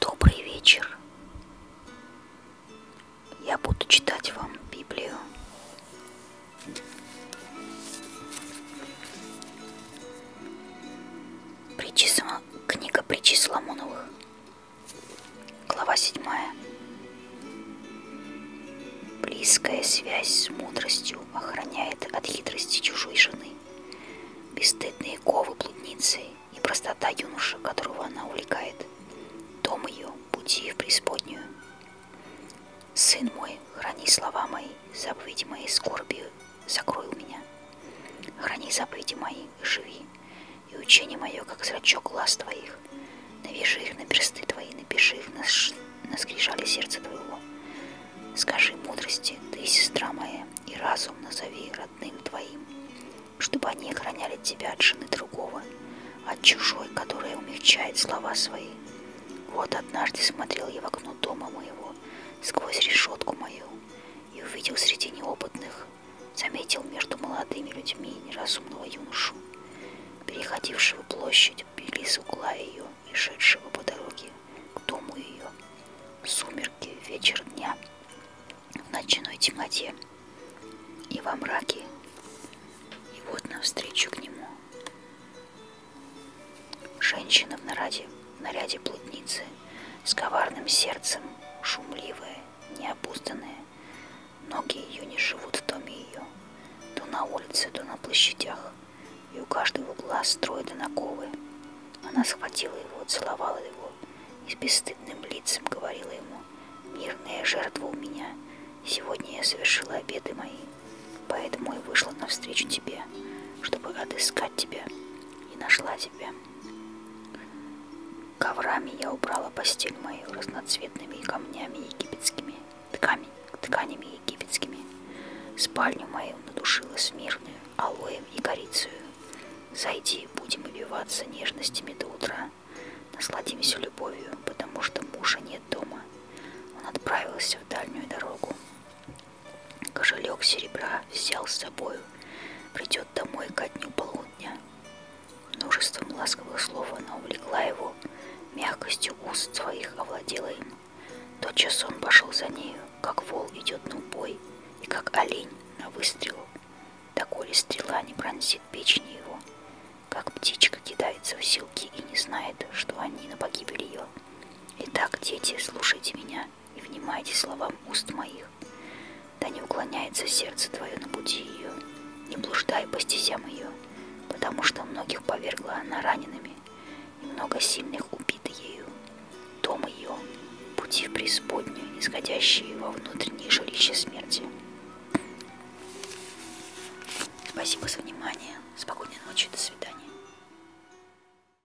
Добрый вечер. Я буду читать вам Библию. Притчи, книга Притчи Соломоновых, глава 7. Близкая связь с мудростью охраняет от хитрости чужой жены. Бесстыдные ковы блудницы и простота юноша, которого она увлекает. Дом ее, пути в преисподнюю. Сын мой, храни слова мои, заповеди мои скорбью, закрой у меня. Храни заповеди мои, живи, и учение мое, как зрачок глаз твоих. Навяжи их на персты твои, напиши их на, ш... на скрижале сердца твоего. Скажи мудрости, ты сестра моя, и разум назови родным твоим, чтобы они охраняли тебя от жены другого, от чужой, которая умягчает слова свои. Вот однажды смотрел я в окно дома моего, сквозь решетку мою, и увидел среди неопытных заметил между молодыми людьми неразумного юношу, переходившего площадь, били с угла ее и шедшего по дороге к дому ее. Сумерки, вечер дня, в ночной темноте и во мраке. И вот навстречу к нему женщина в наряде, в наряде плотницы, с коварным сердцем, шумливая необузданные. Ноги ее не живут в доме ее, то на улице, то на площадях, и у каждого угла строят онаковы. Она схватила его, целовала его и с бесстыдным лицем говорила ему, «Мирная жертва у меня, сегодня я совершила обеды мои, поэтому и вышла навстречу тебе, чтобы отыскать тебя, и нашла тебя». Коврами я убрала постель мою разноцветными камнями египетскими, тками, тканями египетскими. Спальню мою надушила смирную, алоем и корицею. Зайди, будем убиваться нежностями до утра. Насладимся любовью, потому что мужа нет дома. Он отправился в дальнюю дорогу. Кошелек серебра взял с собою придет домой ко дню полудня. Множеством ласковых слов она увлекла его, мягкостью уст своих овладела им. Тотчас он пошел за нею, как вол идет на убой, и как олень на выстрелу. Доколе стрела не пронзит печени его, как птичка кидается в силки и не знает, что они на погибель ее. Итак, дети, слушайте меня, и внимайте словам уст моих. Да не уклоняется сердце твое на пути ее, не блуждай по стезям ее, потому что многих повергла она ранеными, и много сильных убито ею. Дом ее, пути в преисподнюю, исходящие во внутренние жилища смерти. Спасибо за внимание. Спокойной ночи. До свидания.